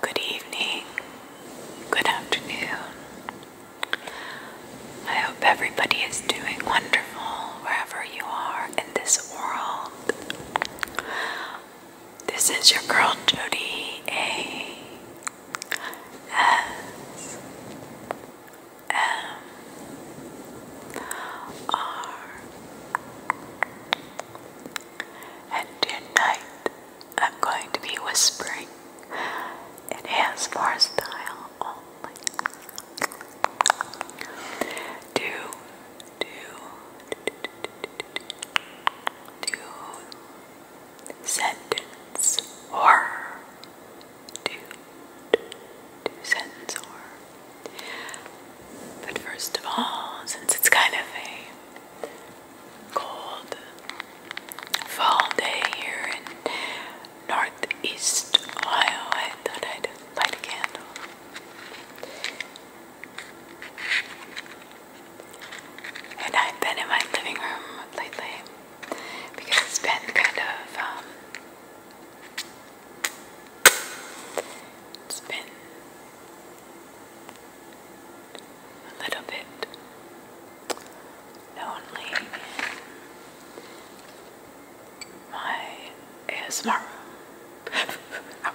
Good evening, good afternoon. I hope everybody is doing wonderful wherever you are in this world. This is your girl Jody A S M R. And tonight I'm going to be whispering. It has more style only. Do, or do, do, do or. But first of all, since it's kind of a cold fall day here in northeast Ohio. I i light a candle. And I've been in my living room lately because it's been kind of, um, it's been a little bit lonely my ASMR out.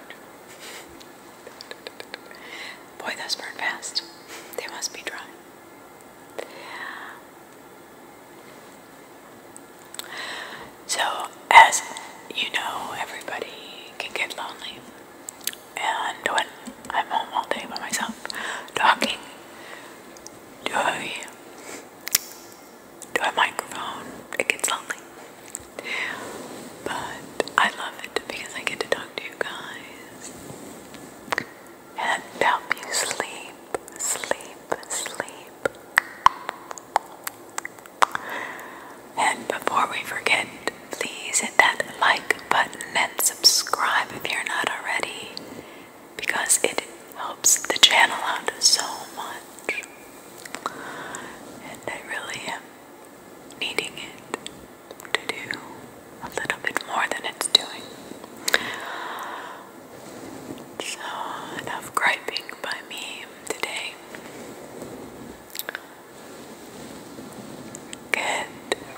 Boy, those burn fast. They must be dry. So, as you know, everybody can get lonely and when I'm home all day by myself talking to a, to a microphone, it gets lonely. But I love it because I get to talk to you guys and help you sleep, sleep, sleep. And before we forget, please hit that like button and subscribe if you're not already because it helps the channel out so much. And I really am needing it to do a little bit more than it's doing. So, enough griping by me today. Get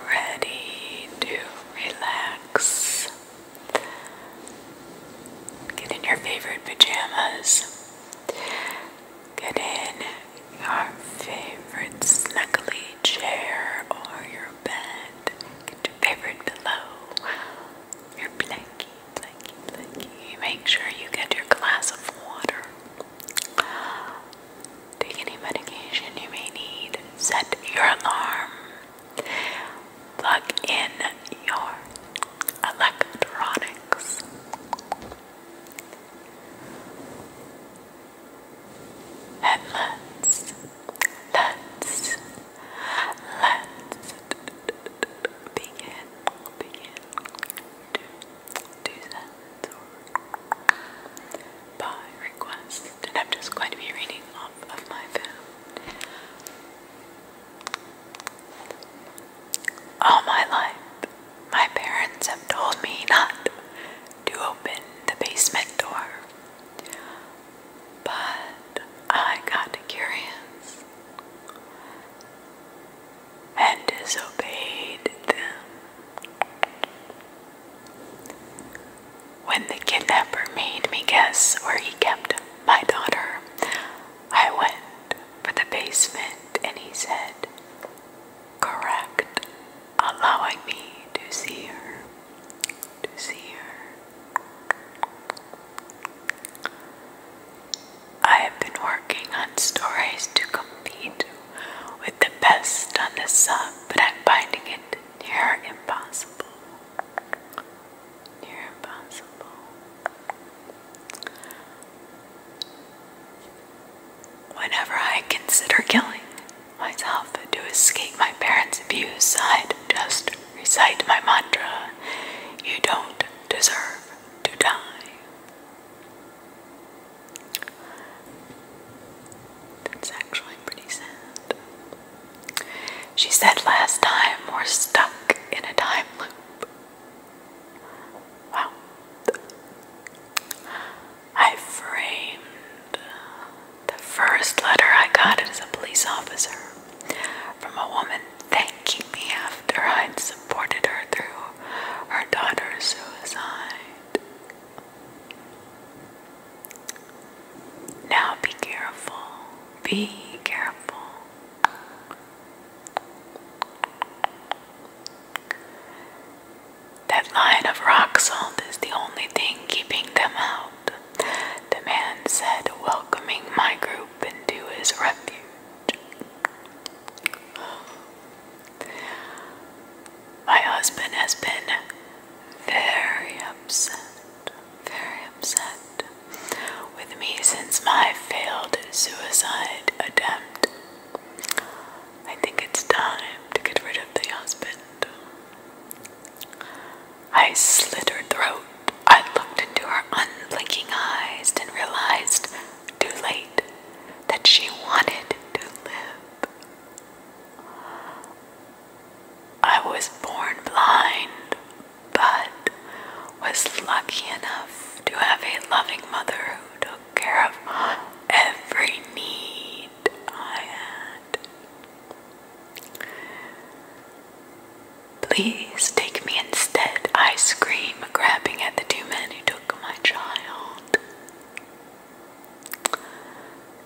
ready to relax. Get in your favorite pajamas. Get in your favorite snuggly chair or your bed. Get your favorite pillow. Your blankie, blankie, blankie. Make sure you get your glass of water. Take any medication you may need. Set your alarm. Plug in your electronics. And let's, let's, let's begin, begin by request. And I'm just going to be reading off of my phone. All my life, my parents have told me not to open the basement door. But I got curious and disobeyed them. When the kidnapper made me guess where he kept my daughter, I went for the basement and he said, Correct, allowing me to see her. To see her. I have been working on stories to compete with the best on the sub, but I'm finding it near impossible. Near impossible. Whenever I consider killing myself to escape my parents' abuse, i just recite my mantra you don't deserve to die. That's actually pretty sad. She said last time we're stuck in a time loop. Wow. I framed the first letter I got as a police officer from a woman thanking me after I'd supported her through her daughter's suicide. Now be careful. Be careful. That line of rock salt is the only thing keeping them out, the man said, welcoming my group into his refuge. My husband has been very upset, very upset with me since my failed suicide attempt. I think it's time to get rid of the husband. I slit her throat. I looked into her unblinking eyes and realized too late that she wanted to live. I was born blind, but was lucky enough to have a loving mother who took care of every need I had. Please take me instead, I scream, grabbing at the two men who took my child.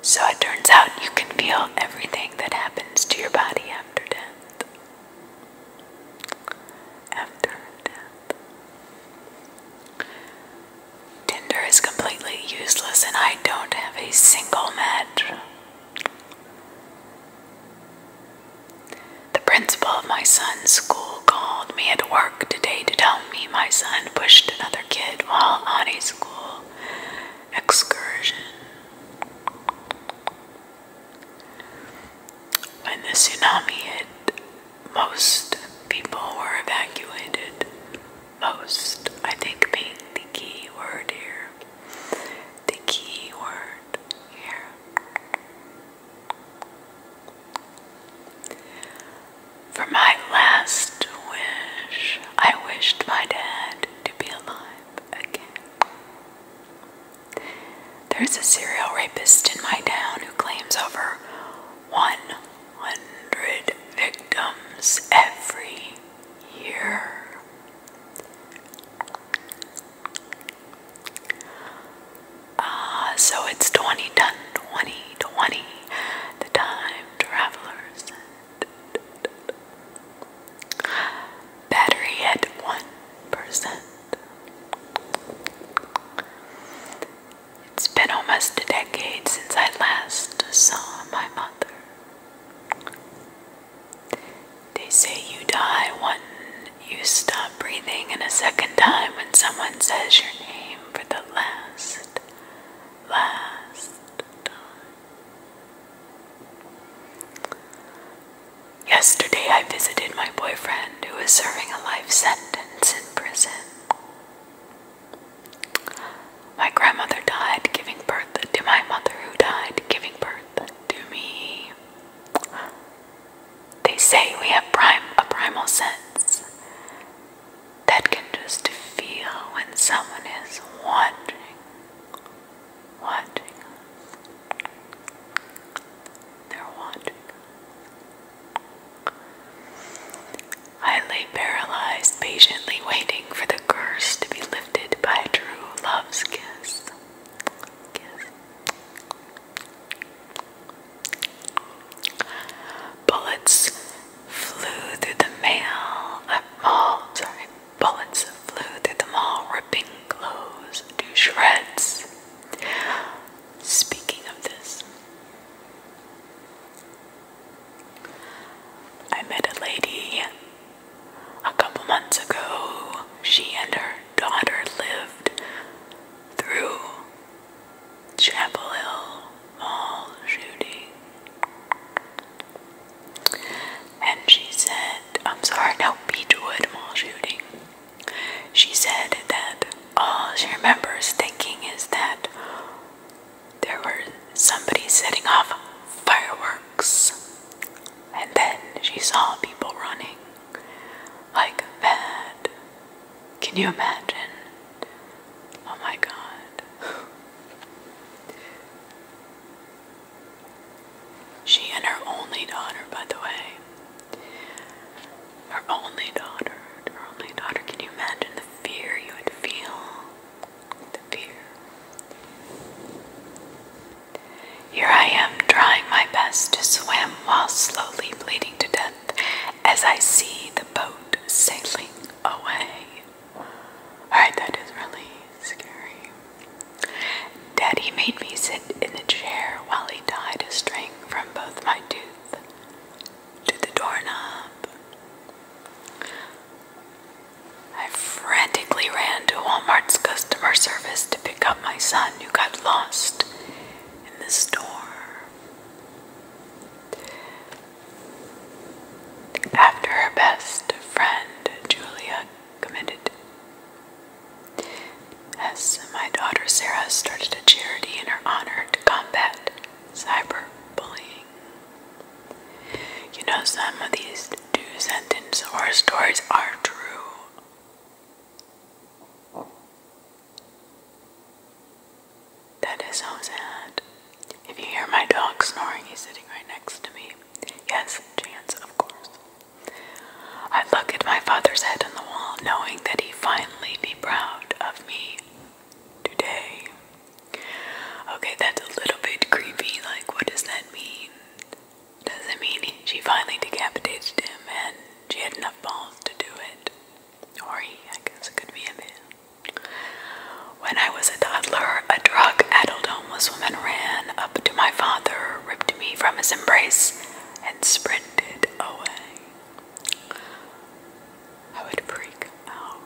So it turns out you can feel everything that happens to your body after death. After death. Tinder is completely useless, and I don't have a single match. The principal of my son's school called me at work today to tell um, me, my son pushed another kid while on a school excursion. When the tsunami hit, most people were evacuated. Most, I think, being the key word here. The key word here. For my last wish, I wished my dad to be alive again. There's a serial rapist in my town who claims over 100 victims every year. Ah, so it's 20 done 20 20 the time travelers battery at 1%. It's been almost a decade since I last saw my mother. They say you die when you stop breathing, and a second time when someone says your name, for the last, last time. Yesterday I visited my boyfriend who is serving a life sentence in prison. My grandmother died giving birth to my mother, who died giving birth to me. They say we have prime, a primal sense that can just feel when someone is watching, watching They're watching I lay paralyzed, patiently waiting for the curse to be lifted by true love's Kiss. Bullets flew through the mall, sorry, bullets flew through the mall, ripping clothes to shreds. Speaking of this, I met a lady a couple months ago. She and her daughter lived through Chapel Hill Mall shooting. And she said, I'm sorry, no, Beechwood Mall shooting. She said that all she remembers thinking is that there were somebody setting off fireworks. And then she saw people running like mad. Can you imagine? Oh my god. she and her only daughter, by the way. Her only daughter. Her only daughter. Can you imagine the fear you would feel? The fear. Here I am trying my best to swim while slowly bleeding to death as I see the boat sailing away. Alright, that is really scary. Daddy made me sit in the chair while he tied a string from both my tooth to the doorknob. I frantically ran to Walmart's customer service to pick up my son who got lost in the store. After her best friend, Julia, committed, my daughter Sarah started a charity in her honor to combat cyberbullying. You know, some of these two sentence horror stories are true. That is so sad. If you hear my dog snoring, he's sitting right next to me. Yes, chance, of course. I look at my father's head in the wall, knowing that he finally be proud of me today. Okay, that's a little bit creepy. Like, what does that mean? Does it mean she finally decapitated him and she had enough balls to do it? or he, I guess it could be a When I was a toddler, a drug addled homeless woman ran up to my father, ripped me from his embrace, and sprinted away. I would freak out.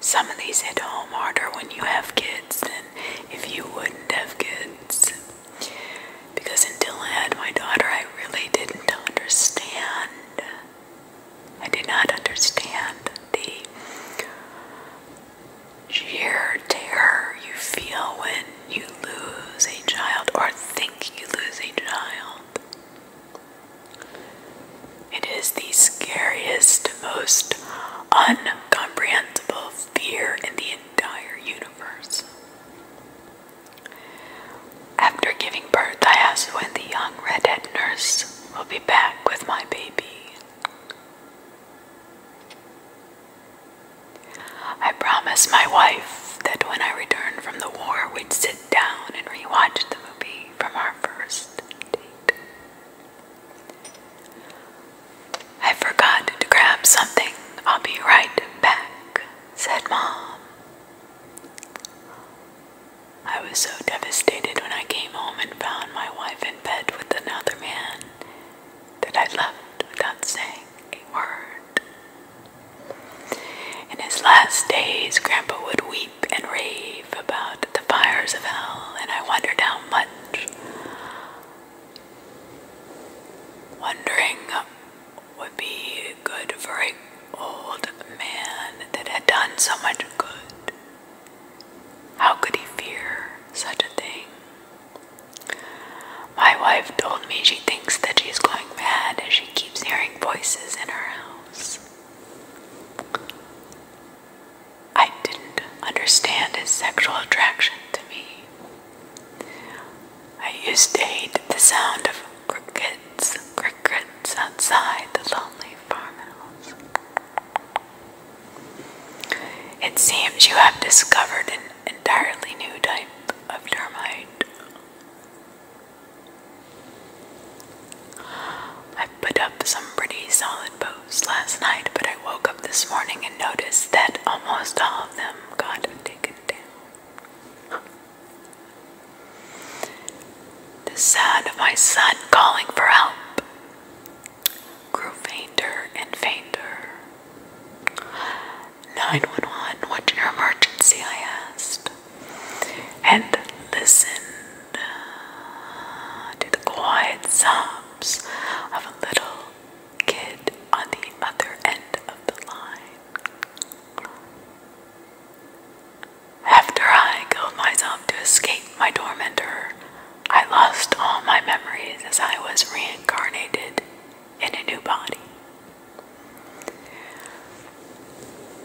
Some of these hit home harder when you have kids than if you wouldn't have kids. Because until I had my daughter, I really didn't understand. I did not understand the sheer terror you feel when you lose a child or think you lose a child. It is the scariest, most incomprehensible fear in the entire universe. After giving birth, I asked when the young redhead nurse will be back with my baby. I promised my wife that when I returned from the war, we'd sit down and rewatch the movie from our first date. I forgot to grab something. I'll be right back said Mom. I was so devastated when I came home and found my wife in bed with another man that I left without saying a word. In his last days, Grandpa would weep and rave about the fires of hell, and I wondered how much. Wondering would be good for an old man that had done so much good. How could he fear such a thing? My wife told me she thinks that she's going mad as she keeps hearing voices in her house. I didn't understand his sexual attraction to me. I used to hate the sound of crickets, crickets outside the lonely farmhouse. It seems you have discovered an entirely new type of termite. I put up some pretty solid posts last night, but I woke up this morning and noticed that almost all of them got taken down. The sound of my son calling for help grew fainter and fainter. 911, what's your emergency? I asked, and listened to the quiet sobs of a little kid on the other end of the line. After I killed myself to escape my tormentor, I lost all my memories as I was reincarnated in a new body.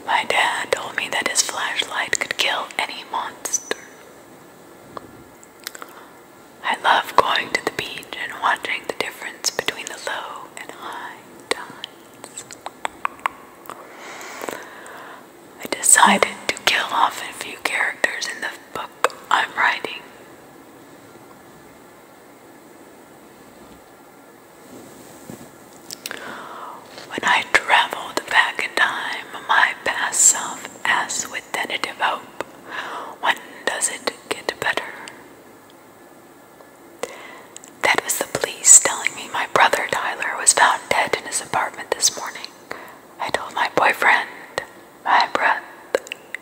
My dad told me that his flashlight could kill any monster. I love going to the beach and watching the difference between the low low high tides. I decided to kill off a few characters in the book I'm writing. When I traveled back in time, my past self asked with tentative hope, When does it get better? That was the police telling me my brother Tyler was found dead in his apartment this morning. I told my boyfriend, my breath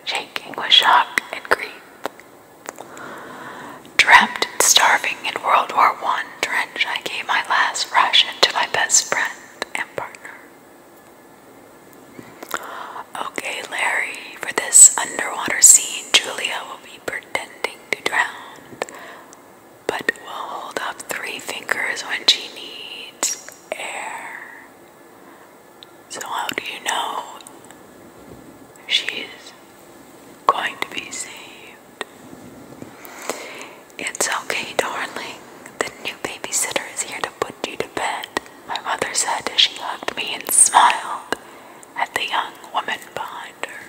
shaking with shock and grief. Trapped and starving in World War I trench, I gave my last ration to my best friend and partner. Okay, Larry, for this underwater scene, Julia will be pretending to drown, but will hold up three fingers when she needs air. So, how do you know she's going to be saved? It's okay, darling. The new babysitter is here to put you to bed, my mother said as she hugged me and smiled at the young woman behind her.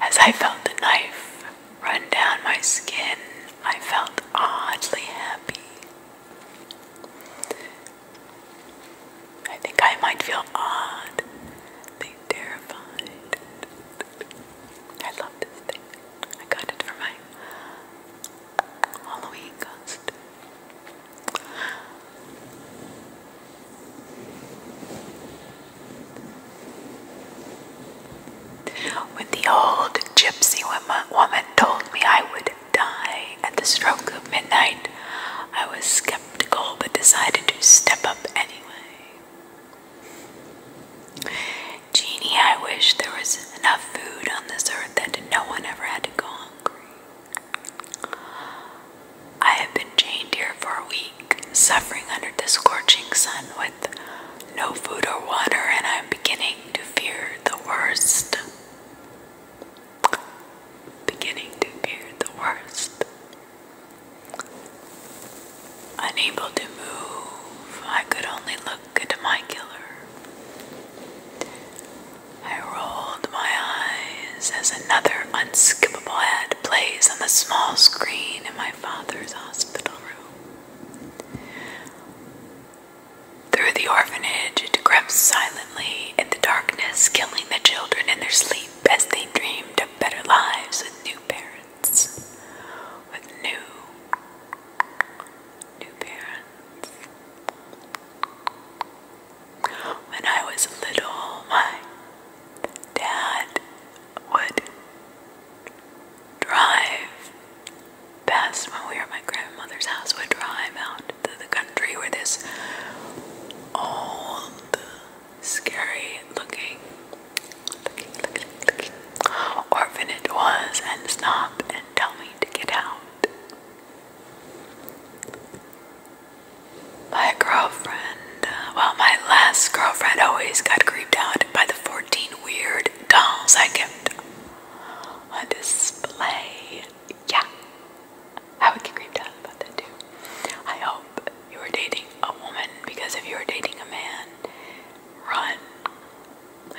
As I felt the knife run down my skin, I felt oddly happy. I think I might feel odd, being terrified. I love this thing. I got it for my Halloween costume. When the old gypsy woman told me I would die at the stroke of midnight, I was skeptical but decided to step up anyway. Genie, I wish there was enough food on this earth that no one ever had to go hungry. I have been chained here for a week, suffering under the scorching sun with no food or water, and I'm beginning to fear the worst. Beginning to fear the worst. Unable to move, I could only look at my killer. I rolled my eyes as another unskippable ad plays on the small screen in my father's hospital room. Through the orphanage, it creeps silently in the darkness, killing the children in their sleep as they dreamed of better lives with new parents. With new, new parents. When I was little, my dad would drive past when we were at my grandmother's house, would drive out to the country where this old, scary looking, looking, looking, looking orphanage was and stop and tell me to get out. My girlfriend, uh, well, my last girlfriend always got creeped out by the 14 weird dolls I kept on display. Yeah, I would get creeped out by that too. I hope you are dating a woman because if you are dating a man, run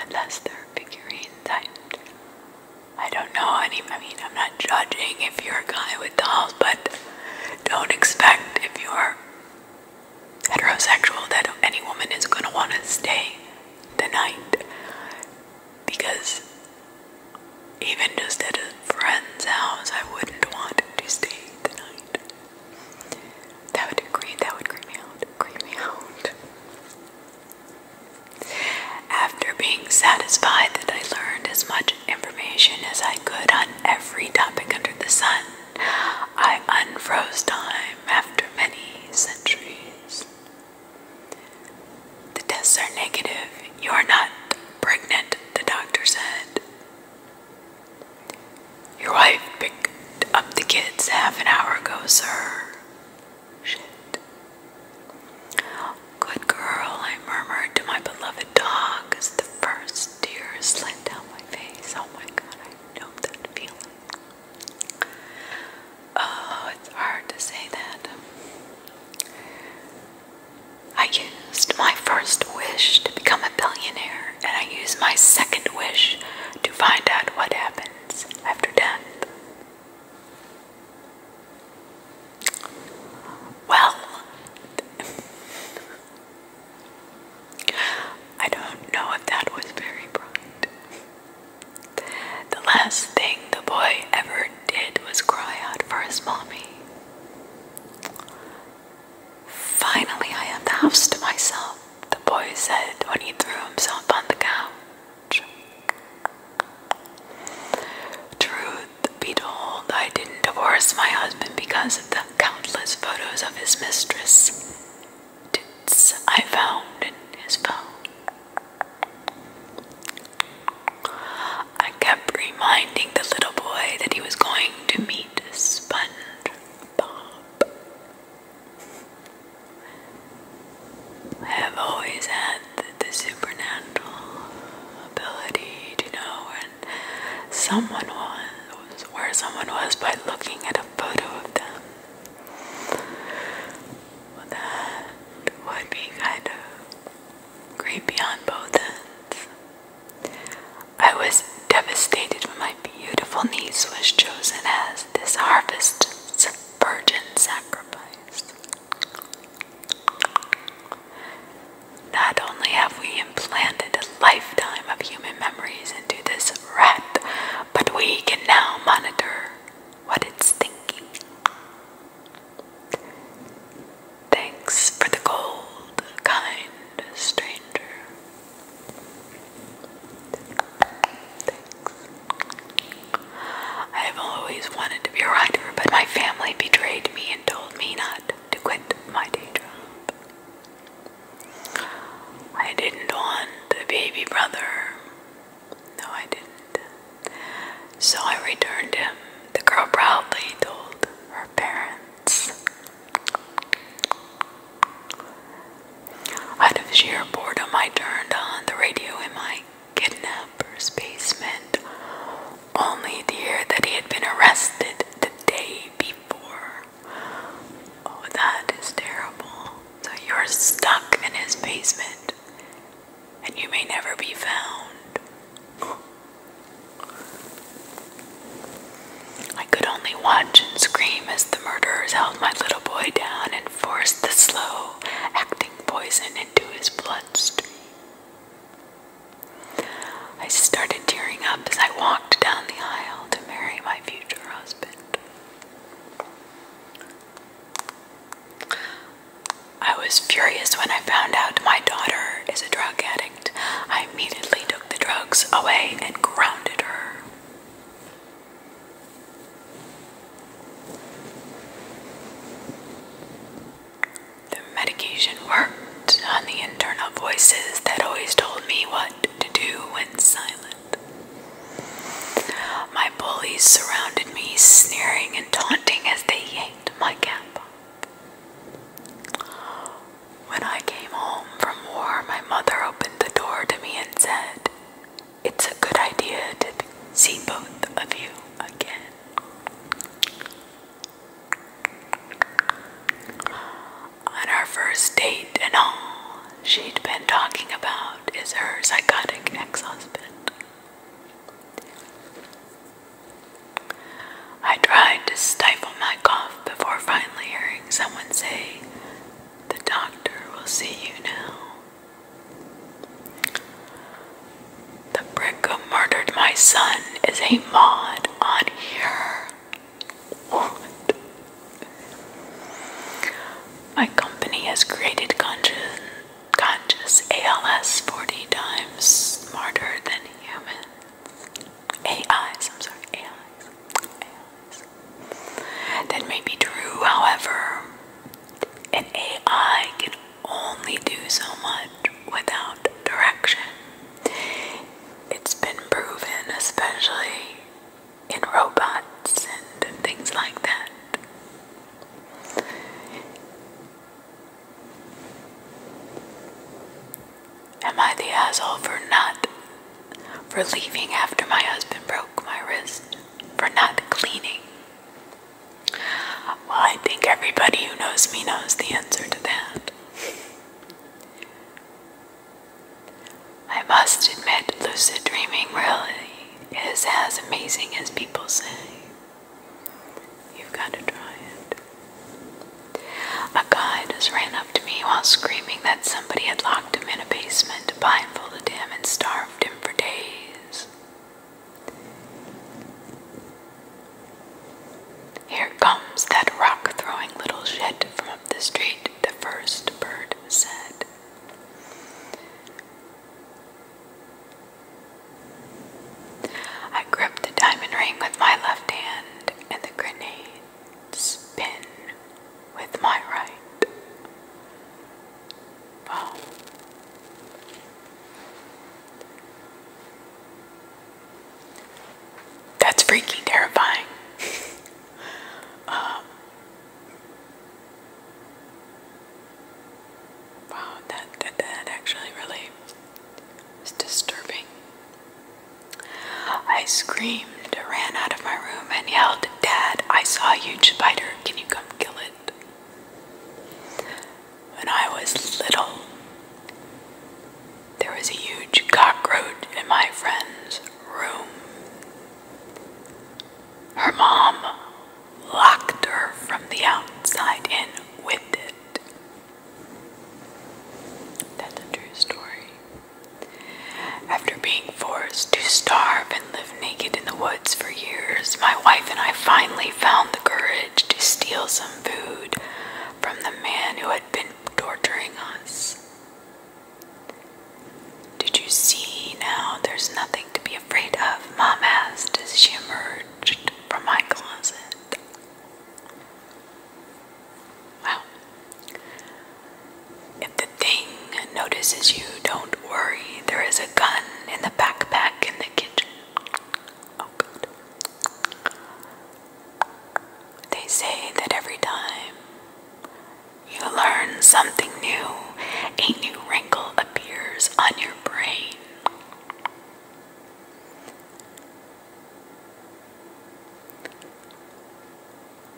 unless they're figurines. I I don't know any, I mean, I'm not judging if you're a guy with dolls, but don't expect if you're heterosexual that any woman is going to want to stay the night. Because even just at a friend's house, I wouldn't want to stay the night. That would creep, that would creep me out, creep me out. After being satisfied that I learned as much information as I could on every topic under the sun, I unfroze time after many centuries. The tests are negative. You are not pregnant, the doctor said. Your wife picked up the kids half an hour ago, sir. Good girl, I murmured to my beloved dog as the first tear slid down my face. Oh my god, I know that feeling. Oh, it's hard to say that. I used my first wish to become a billionaire, and I used my second wish to find out what happens after death. Well, I don't know if that was very bright. The last thing the boy ever did was cry out for his mommy. Finally, I have the house to myself, the boy said when he threw himself on the couch. Truth be told, I didn't divorce my husband because of the countless photos of his mistress tits I found in his phone. I kept reminding the little boy that he was going to meet Sponge I have always had the, supernatural ability to know when someone was, where someone was by looking at a photo of them. that would be kind of creepy on both ends. I was devastated when my beautiful niece was chosen as this harvest's virgin sacrifice. Not only have we implanted a lifetime of human memories into this rat, but we can now monitor what it's thinking. Thanks for the gold, kind stranger. Thanks. I have always wanted to be a writer, but my family betrayed me and told me not to quit my day job. I didn't want a baby brother. No, I didn't. So I returned him. The girl proudly told her parents. Out of sheer boredom, I turned on the radio in my kidnapper's basement, only to hear that he had been arrested the day before. Oh, that is terrible. So you're stuck in his basement, and you may never be found. I could only watch and scream as the murderers held my little boy down and forced the slow acting poison into his bloodstream. I started tearing up as I walked down the aisle to marry my future husband. I was furious when I found out my daughter is a drug addict. I immediately took the drugs away and grounded her. The medication worked on the internal voices that always told me what to do when silent. My bullies surrounded me, sneering and taunting as they yanked my cap When I came home from war, my mother opened the door to me and said, it's a good idea to see both of you again. On our first date and all she'd been talking about is her psychotic ex-husband. I tried to stifle my cough before finally hearing someone say, The doctor will see you now. The brick who murdered my son is a mod on here. My company has created conscious, conscious ALS 40 times smarter than human AIs, I'm sorry, AIs. AIs. That may be true, however, an AI can only do so much without direction. It's been proven, especially in robots and things like that. Am I the asshole for not for leaving after my husband broke my wrist? For not cleaning? Well, I think everybody who knows me knows the answer to that. I must admit, lucid dreaming really is as amazing as people say. You've got to try it. A guy just ran up to me while screaming that somebody had locked him in a basement, blindfolded him, and starved him for days. Here comes that rock throwing little shit from up the street, the first bird said. I gripped the diamond ring with my left hand and the grenade's pin with my right. Wow. That's freaking terrifying. Um, wow, that, that, that actually really is disturbing. I screamed, ran out of my room, and yelled, Dad, I saw a huge spider. Can you come kill it? When I was little, there was a huge cockroach in my friend's room. Her mom locked her from the outside in with it. That's a true story. After being forced to starve and live naked in the woods for years, my wife and I finally found the courage to steal some food from the man who had been torturing us. Did you see now? There's nothing to be afraid of, Mom asked as she emerged from my closet. Wow. If the thing notices you, don't worry, there is a gun in the backpack in the kitchen. Oh, good. They say that every time you learn something new, a new wrinkle appears on your brain.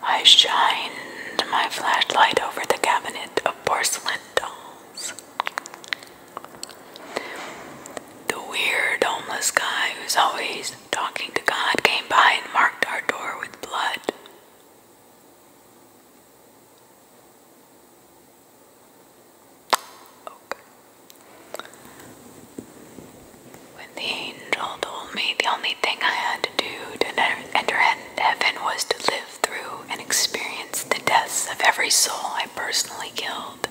I shined my flashlight over the cabinet of porcelain dolls. The weird homeless guy who's always talking to God came by and marked our door with blood. When the angel told me the only thing I had to do to enter heaven was to live through and experienced the deaths of every soul I personally killed,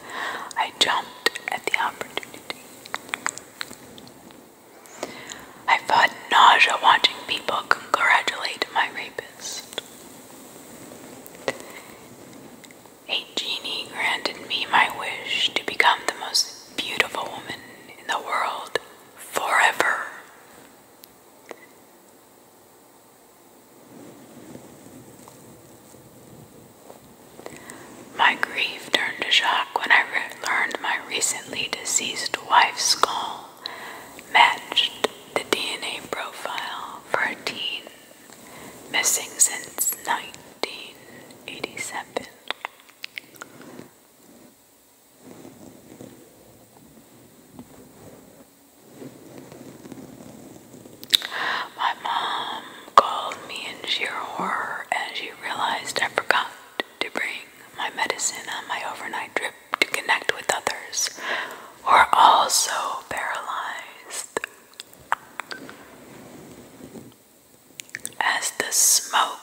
I jumped at the opportunity. I fought nausea watching people congratulate my rapist. A genie granted me my wish to become the most beautiful woman in the world forever. My grief turned to shock when I learned my recently deceased wife's skull matched the DNA profile for a teen missing since 1987. My mom called me in sheer horror and she realized I forgot to bring my medicine on my overnight trip to connect with others who are also paralyzed. As the smoke,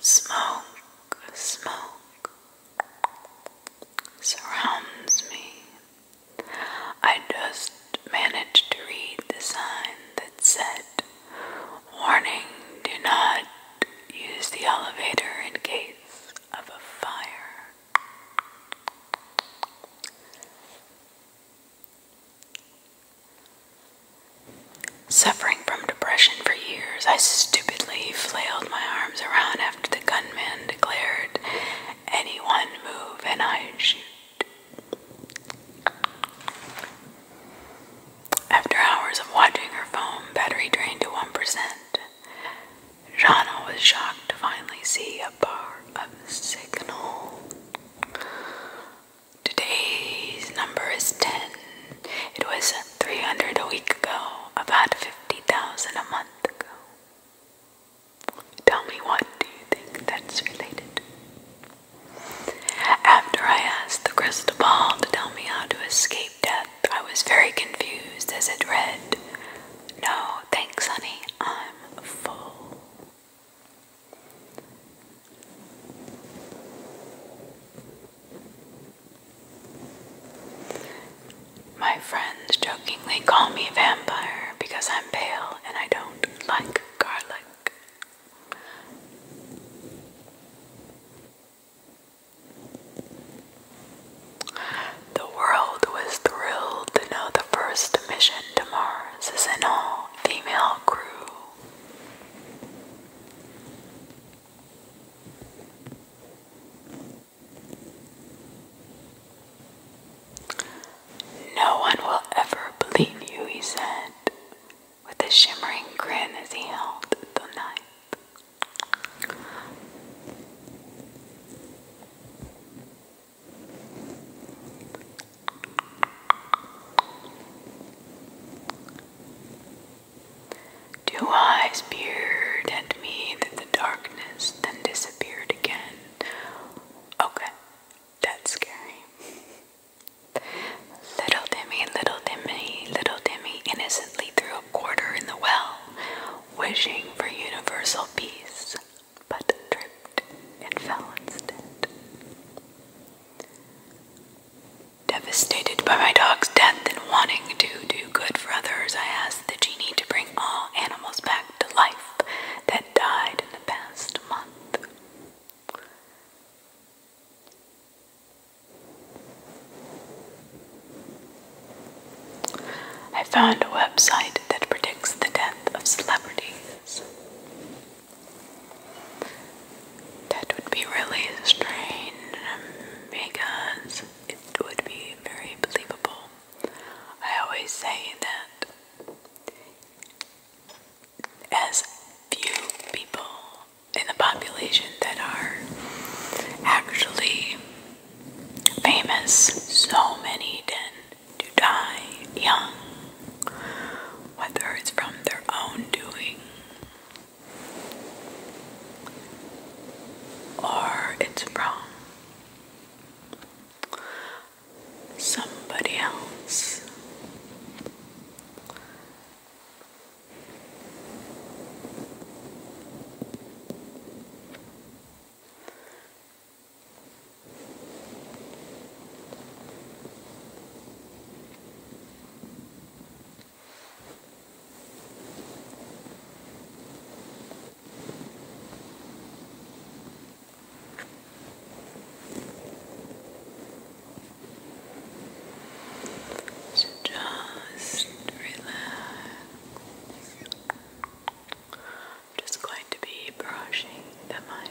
smoke, smoke surrounds me. I just managed to read the sign that said, Warning, do not use the elevator in case of a fire. Suffering from depression for years, I stupidly flailed my arms around after the gunman declared, Anyone move and I shoot. After hours of watching her phone battery drain to 1%, Jana was shocked to finally see a bar of signal. Today's number is 10. It was 300 a week ago, about 50,000 a month Tell me what do you think that's related After I asked the crystal ball to tell me how to escape death, I was very confused as it read, No, thanks, honey, I'm full. My friends jokingly call me vampire because I'm pale and I don't like garlic. The world was thrilled to know the first mission to Mars is an all female crew. No one will ever believe you, he said, with a shimmering grin as he held the knife. Two eyes peered and me through the darkness, then disappeared again. Okay, that's scary. Little Timmy, little Timmy, little Timmy innocently threw a quarter in the well, wishing for universal peace, but tripped and fell instead. Devastated by my dog's death and wanting to do good for others, I asked asked the genie to bring all animals back to life that died in the past month. I found a website that predicts the death of celebrities. That would be really strange um, because it would be very believable. I always say that as few people in the population that are actually famous, so many tend to die young, whether it's from their own doing or it's wrong. somebody else just relax. I'm just going to be brushing the mic.